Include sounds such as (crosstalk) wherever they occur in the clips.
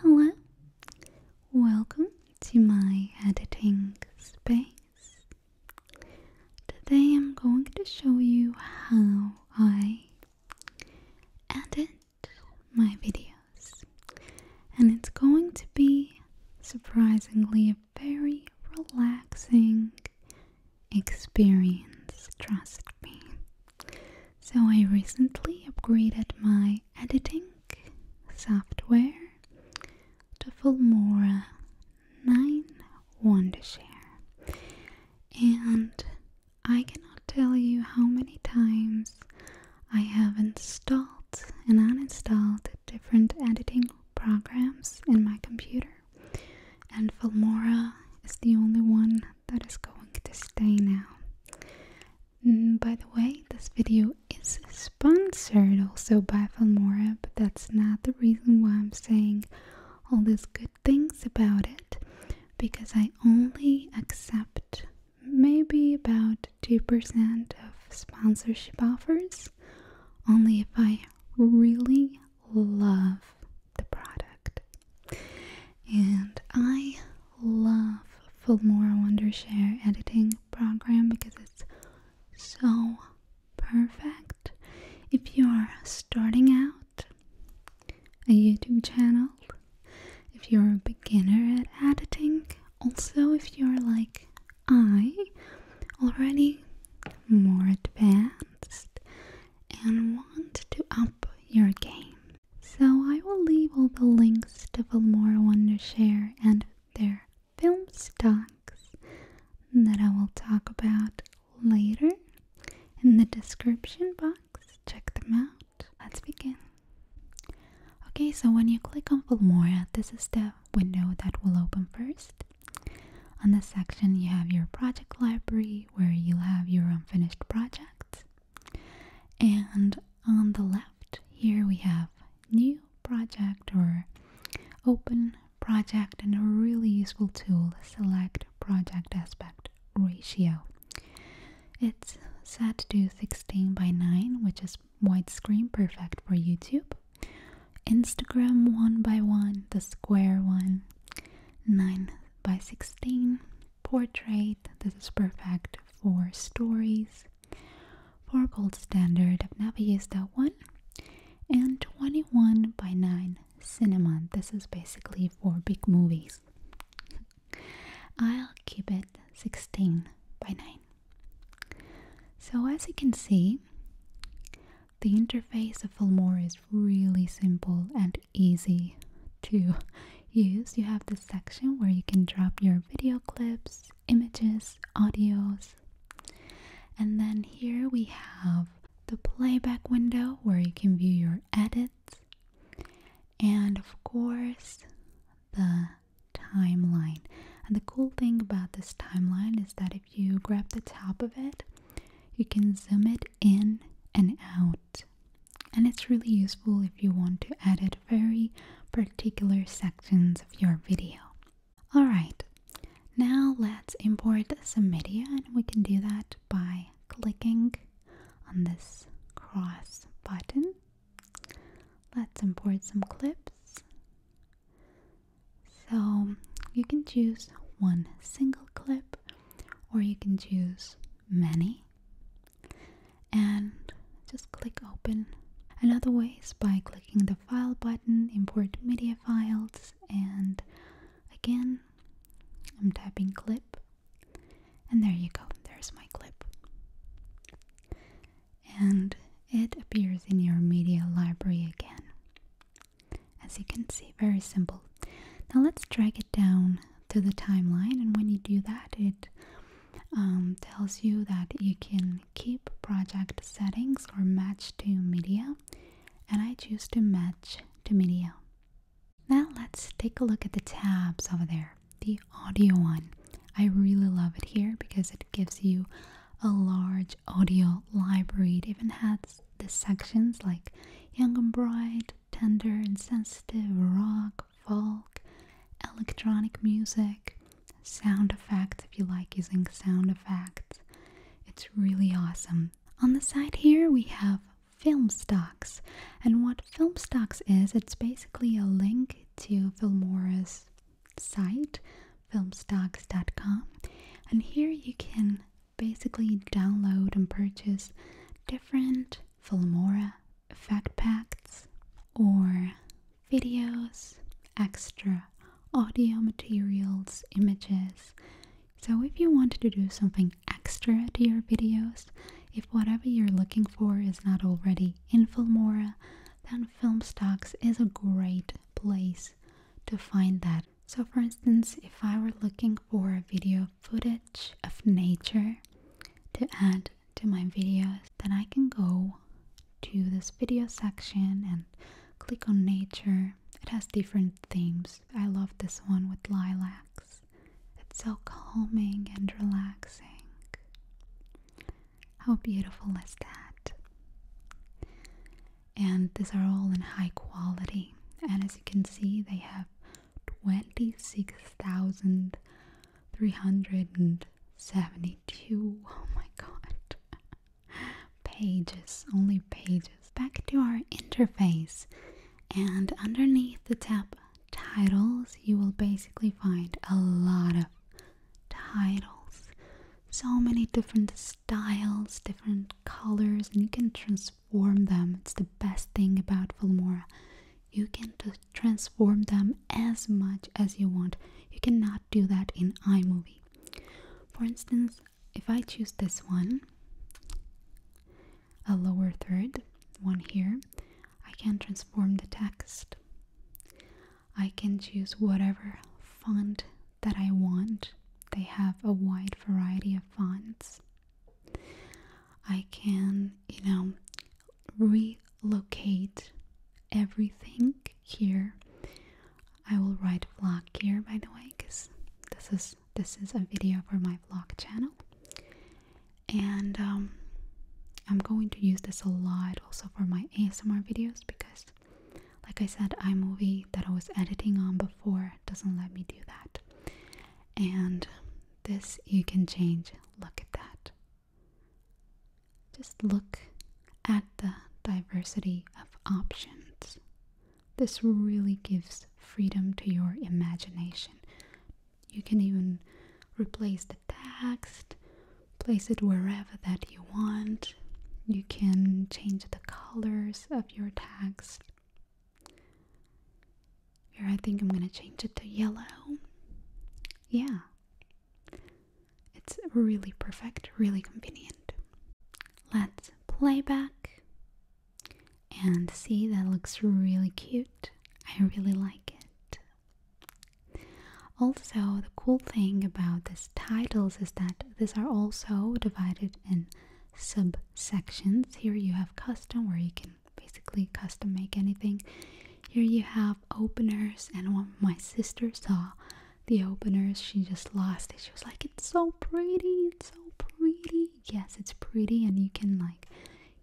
Hello, welcome to my editing space. Today I'm going to show you how I edit my videos, and it's going to be surprisingly a very relaxing experience, trust me. So I recently upgraded my editing software to Filmora 9 Wondershare. And I cannot tell you how many times I have installed and uninstalled different editing programs in my computer. And Filmora is the only one that is going to stay now. Mm, by the way, this video is sponsored also by Filmora, but that's not the reason why I'm saying all these good things about it because I only accept maybe about 2% of sponsorship offers only if I really love the product. And I love Filmora Wondershare editing program because it's so perfect. If you're starting out a YouTube channel, if you're a beginner at editing, also if you're like I, already more advanced and want to up your game so I will leave all the links to to share and their film stocks that I will talk about later in the description box. Check them out. Let's begin. Okay, so when you click on Filmora, this is the window that will open first. On this section, you have your project library where you have your unfinished projects. And on the left, here we have new project or open project and a really useful tool, select project aspect ratio. It's set to 16 by 9, which is widescreen perfect for YouTube. Instagram 1 by 1, the square one, 9 by 16, portrait. This is perfect for stories. For gold standard, I've one. And 21 by 9 cinema. This is basically for big movies. I'll keep it 16 by 9. So as you can see, the interface of Filmora is really simple and easy to use, you have the section where you can drop your video clips, images, audios. And then here we have the playback window where you can view your edits. And of course, the timeline. And the cool thing about this timeline is that if you grab the top of it, you can zoom it in and out. And it's really useful if you want to edit very particular sections of your video. Alright, now let's import some media and we can do that by clicking on this cross button. Let's import some clips. So you can choose one single clip or you can choose many and just click open. Another way is by clicking the file button, import media files, and again, I'm tapping clip, and there you go, there's my clip. And it appears in your media library again. As you can see, very simple. Now let's drag it down to the timeline, and when you do that, it um, tells you that you can keep project settings or match to media, and I choose to match to media. Now let's take a look at the tabs over there. The audio one. I really love it here because it gives you a large audio library. It even has the sections like Young and Bright, tender and sensitive rock, folk, electronic music, sound effects if you like using sound effects. It's really awesome. On the side here we have film stocks. And what film stocks is, it's basically a link to Filmora's site, filmstocks.com. And here you can basically download and purchase different Filmora effect packs or videos, extra audio materials, images. So if you want to do something extra to your videos, if whatever you're looking for is not already in Filmora, then Filmstocks is a great place to find that. So for instance, if I were looking for a video footage of nature to add to my videos, then I can go to this video section and click on nature. It has different themes. I love this one with lilacs. It's so calming and relaxing. How beautiful is that? And these are all in high quality. And as you can see, they have 26,372. Oh my god. (laughs) pages, only pages. Back to our interface. And underneath the tab titles, you will basically find a lot of titles. So many different styles, different colors, and you can transform transform them. It's the best thing about Filmora. You can transform them as much as you want. You cannot do that in iMovie. For instance, if I choose this one, a lower third, one here, I can transform the text. I can choose whatever font that I want. They have a wide variety of fonts. I can, you know, relocate everything here. I will write vlog here by the way because this is this is a video for my vlog channel and um, I'm going to use this a lot also for my ASMR videos because like I said iMovie that I was editing on before doesn't let me do that. And this you can change. Look at that. Just look at the diversity of options. This really gives freedom to your imagination. You can even replace the text, place it wherever that you want. You can change the colors of your text. Here, I think I'm gonna change it to yellow. Yeah. It's really perfect, really convenient. Let's playback and see that looks really cute. I really like it. Also, the cool thing about these titles is that these are also divided in subsections. Here you have custom where you can basically custom make anything. Here you have openers and one my sister saw the openers, she just lost She was like, It's so pretty, it's so pretty. Yes, it's pretty and you can like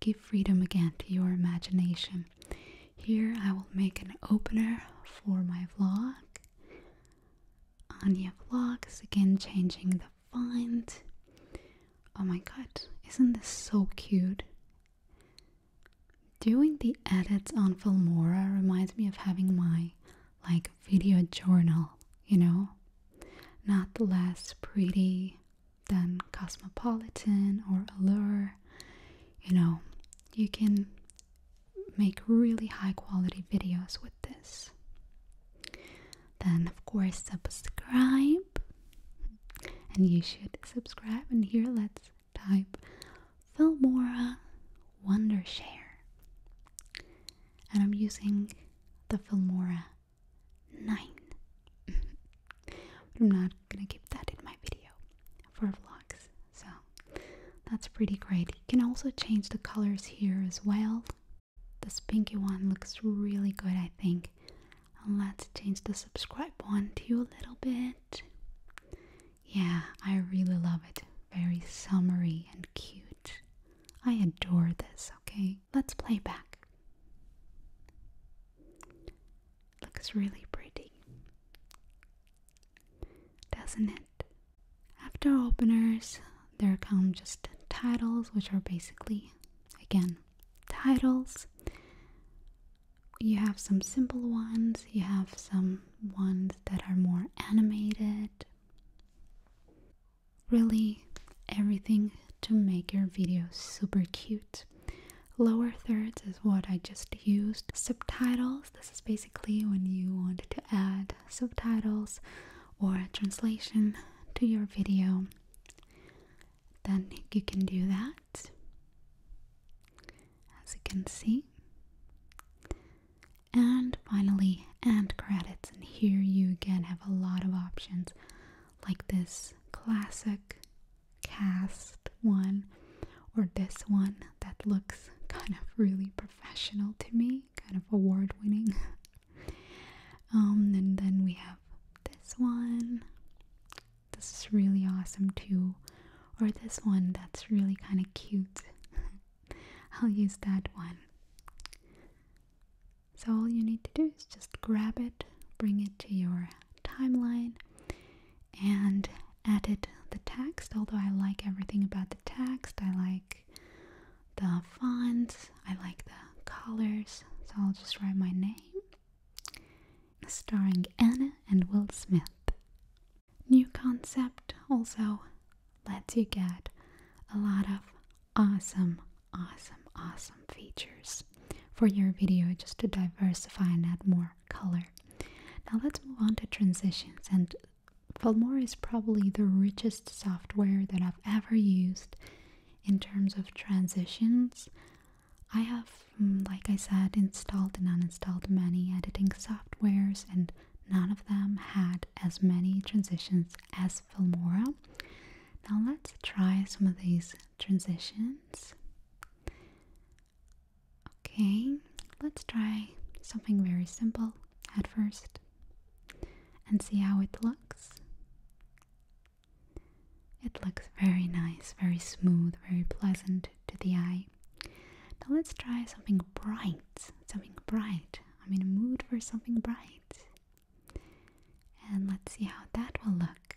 give freedom again to your imagination. Here I will make an opener for my vlog. Anya vlogs again changing the find. Oh my god, isn't this so cute? Doing the edits on Filmora reminds me of having my like video journal, you know? Not less pretty than Cosmopolitan or Allure. You know, you can make really high quality videos with this. Then, of course, subscribe and you should subscribe. And here let's type Filmora Wondershare. And I'm using the Filmora 9. I'm not gonna keep that in my video for vlogs. So that's pretty great. You can also change the colors here as well. This pinky one looks really good, I think. let's change the subscribe one to a little bit. Yeah, I really love it. Very summery and cute. I adore this, okay? Let's play back. Looks really pretty. Doesn't it? After openers, there come just titles, which are basically, again, titles. You have some simple ones, you have some ones that are more animated. Really, everything to make your video super cute. Lower thirds is what I just used. Subtitles, this is basically when you want to add subtitles or a translation to your video then you can do that as you can see and finally end credits and here you again have a lot of options like this classic cast one or this one that looks (laughs) kind of really professional to me kind of award winning (laughs) Um, and then we have this one. This is really awesome too. Or this one that's really kind of cute. (laughs) I'll use that one. So all you need to do is just grab it, bring it to your timeline, and edit the text. Although I like everything about the text, I like the fonts I like the colors, so I'll just write my name. Starring Anna and Will Smith. New concept also lets you get a lot of awesome, awesome, awesome features for your video just to diversify and add more color. Now let's move on to transitions and Filmora is probably the richest software that I've ever used in terms of transitions i have mm, like i said installed and uninstalled many editing softwares and none of them had as many transitions as filmora now let's try some of these transitions okay let's try something very simple at first and see how it looks it looks very nice, very smooth, very pleasant to the eye. Now let's try something bright, something bright. I'm in a mood for something bright. And let's see how that will look.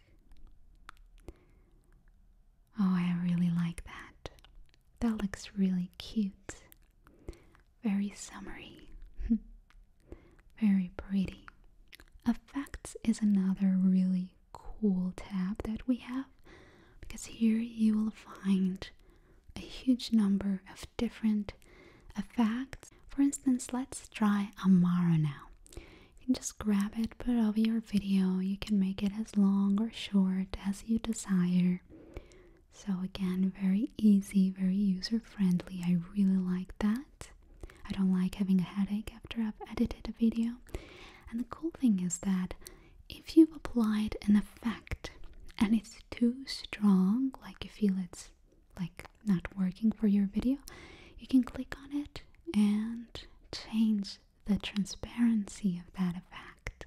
Oh, I really like that. That looks really cute. Very summery. (laughs) Very pretty. Effects is another really cool tab that we have because here you will find a huge number of different effects. For instance, let's try Amara now. You can just grab it, put it over your video. You can make it as long or short as you desire. So again, very easy, very user friendly. I really like that. I don't like having a headache after I've edited a video. And the cool thing is that if you've applied an effect and it's too strong, like you feel it's like not working for your video, you can click on it and change the transparency of that effect.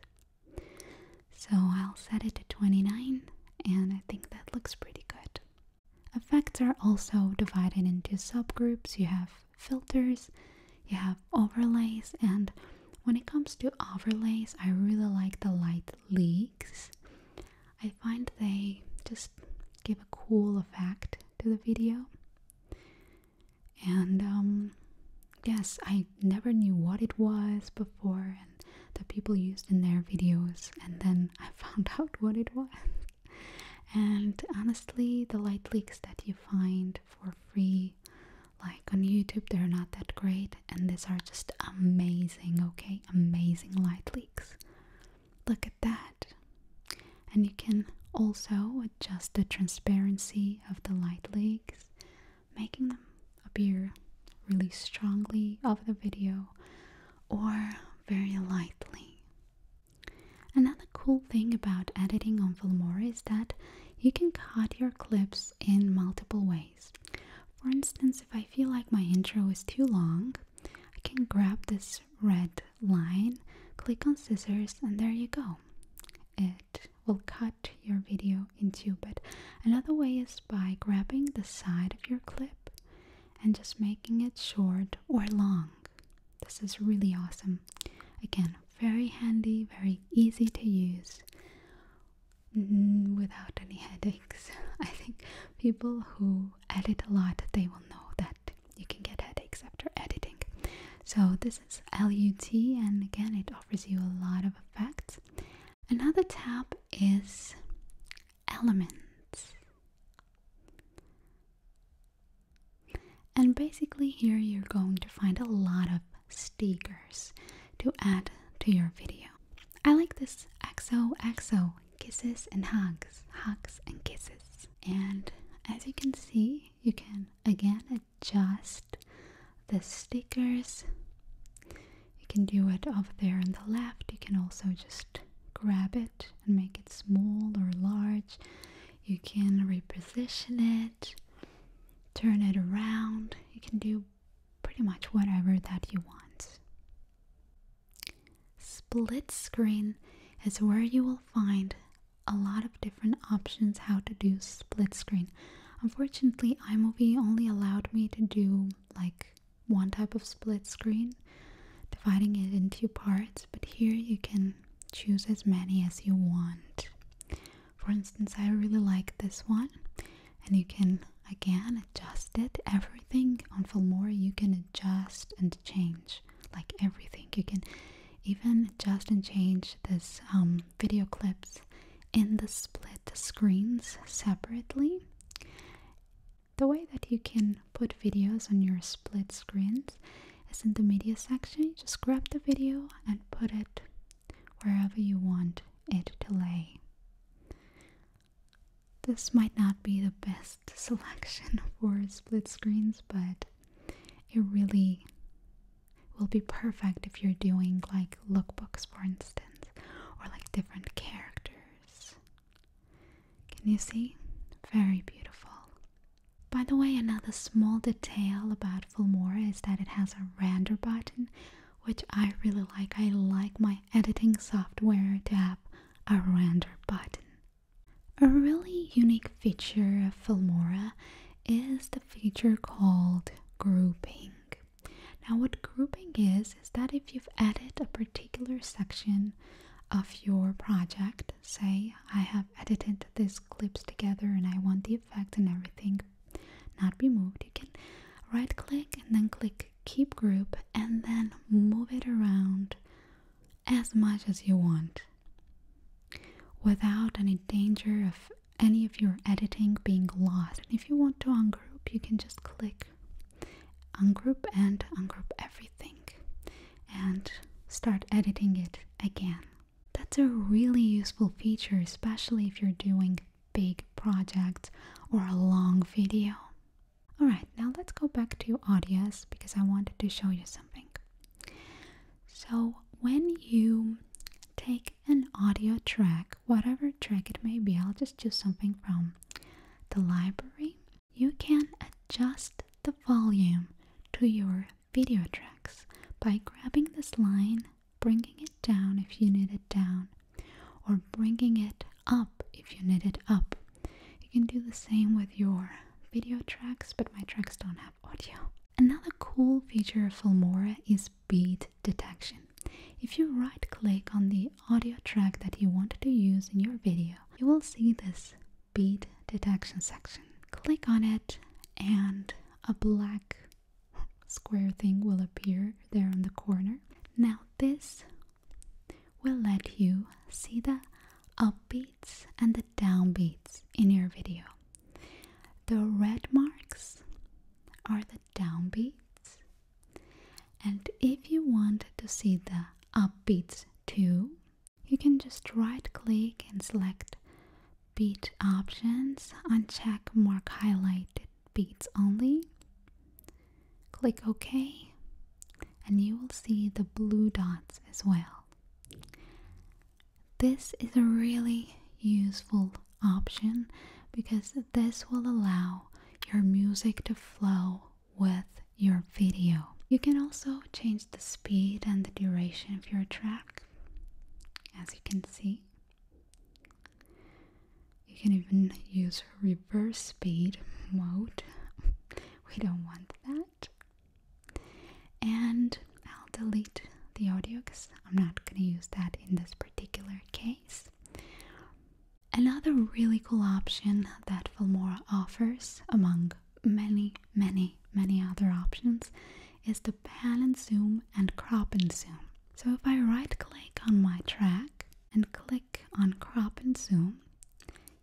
So I'll set it to 29 and I think that looks pretty good. Effects are also divided into subgroups. You have filters, you have overlays, and when it comes to overlays, I really like the light leaks. I find they just give a cool effect to the video. And um yes, I never knew what it was before that people used in their videos, and then I (laughs) found out what it was. and honestly, the light leaks that you find for free, like on YouTube, they're not that great, and these are just amazing, okay? Amazing light leaks. Look at that. And you can also adjust the transparency of the light leaks, making them appear really strongly of the video or very lightly. Another cool thing about editing on Filmora is that you can cut your clips in multiple ways. For instance, if I feel like my intro is too long, I can grab this red line, click on scissors, and there you go. It will cut your video in two, but another way is by grabbing the side of your clip and just making it short or long. This is really awesome. Again, very handy, very easy to use mm, without any headaches. (laughs) I think people who edit a lot, they will know that you can get headaches after editing. So this is LUT and again it offers you a lot of effects. Another tab is elements. And basically, here you're going to find a lot of stickers to add to your video. I like this XOXO kisses and hugs, hugs and kisses. And as you can see, you can again adjust the stickers you can do it over there on the left. You can also just grab it and make it small or large. You can reposition it, turn it around. You can do pretty much whatever that you want. Split screen is where you will find a lot of different options how to do split screen. Unfortunately, iMovie only allowed me to do like one type of split screen, dividing it into parts, but here you can choose as many as you want. For instance, I really like this one, and you can again adjust it. Everything on Filmora you can adjust and change, like everything. You can even adjust and change this um, video clips in the split screens separately the way that you can put videos on your split screens is in the media section. You just grab the video and put it wherever you want it to lay. This might not be the best (laughs) selection for split screens, but it really will be perfect if you're doing like lookbooks, for instance, or like different characters can you see? Very beautiful. By the way, another small detail about Filmora is that it has a render button, which I really like. I like my editing software to have a render button. A really unique feature of Filmora is the feature called grouping. Now, what grouping is, is that if you've added a particular section of your project, say I have edited these clips together and I want the effect and everything not removed, you can right click and then click keep group and then move it around as much as you want without any danger of any of your editing being lost. And if you want to ungroup, you can just click Ungroup and ungroup everything and start editing it again. That's a really useful feature, especially if you're doing big projects or a long video. Alright, now let's go back to Audius because I wanted to show you something. So when you take an audio track, whatever track it may be, I'll just choose something from the library, you can adjust the volume to your video tracks by grabbing this line, bringing it down if you need it down, or bringing it up if you need it up. You can do the same with your video tracks, but my tracks don't have audio. Another cool feature of Filmora is beat detection. If you right click on the audio track that you want to use in your video, you will see this beat detection section. Click on it and a black square thing will appear there in the corner. Now this will let you see the upbeats and the downbeats in your video. The red marks are the downbeats and if you want to see the upbeats too, you can just right click and select beat options, uncheck mark highlighted beats only. Click OK and you will see the blue dots as well. This is a really useful option because this will allow your music to flow with your video. You can also change the speed and the duration of your track, as you can see. You can even use reverse speed mode. (laughs) We don't want that. And I'll delete the audio because I'm not going to use that in this particular case. Another really cool option that Filmora offers, among many, many, many other options, is the pan and zoom and crop and zoom. So if I right click on my track and click on crop and zoom,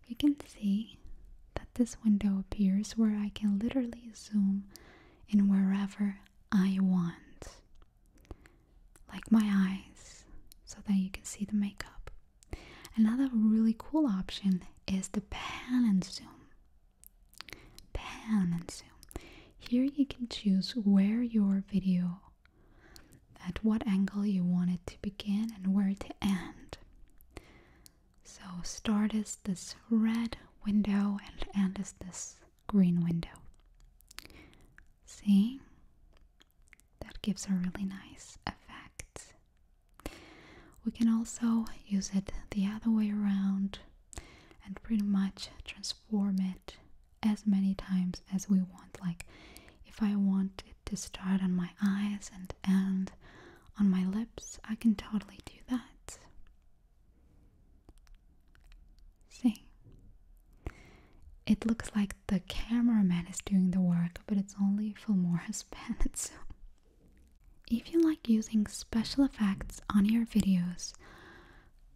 you can see that this window appears where I can literally zoom in wherever I want like my eyes so that you can see the makeup. Another really cool option is the pan and zoom. Pan and zoom. Here you can choose where your video at what angle you want it to begin and where to end. So start is this red window and end is this green window. See? That gives a really nice effect. We can also use it the other way around and pretty much transform it as many times as we want. Like if I want it to start on my eyes and end on my lips, I can totally do that. See? It looks like the cameraman is doing the work, but it's only Filmora's (laughs) pen. So, if you like using special effects on your videos,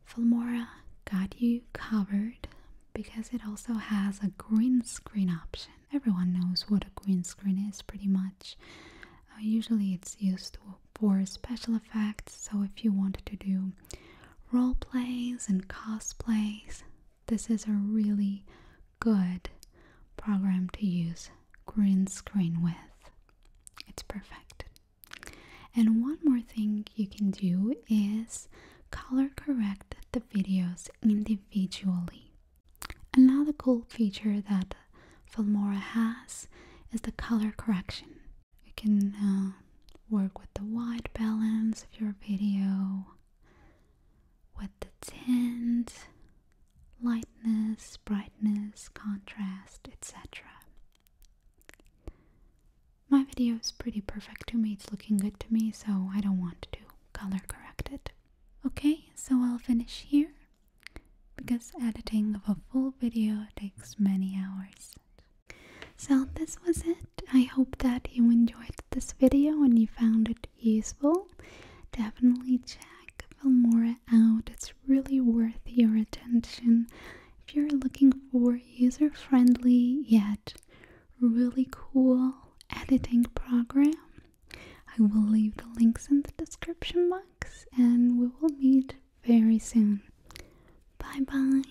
Filmora got you covered because it also has a green screen option. Everyone knows what a green screen is pretty much. Uh, usually it's used for special effects, so if you want to do role plays and cosplays, this is a really good program to use green screen with. It's perfect. And one more thing you can do is color correct the videos individually. Another cool feature that Filmora has is the color correction. You can uh, work with the white balance of your video, with the tint, lightness, brightness, contrast, etc. My video is pretty perfect to me, it's looking good to me, so I don't want to color correct it. Okay, so I'll finish here because editing of a full video takes many hours. So this was it. I hope that you enjoyed this video and you found it useful. Definitely check Filmora out. It's really worth your attention. If you're looking for user-friendly yet really cool editing program, I will leave the links in the description box and we will meet very soon. Bye bye.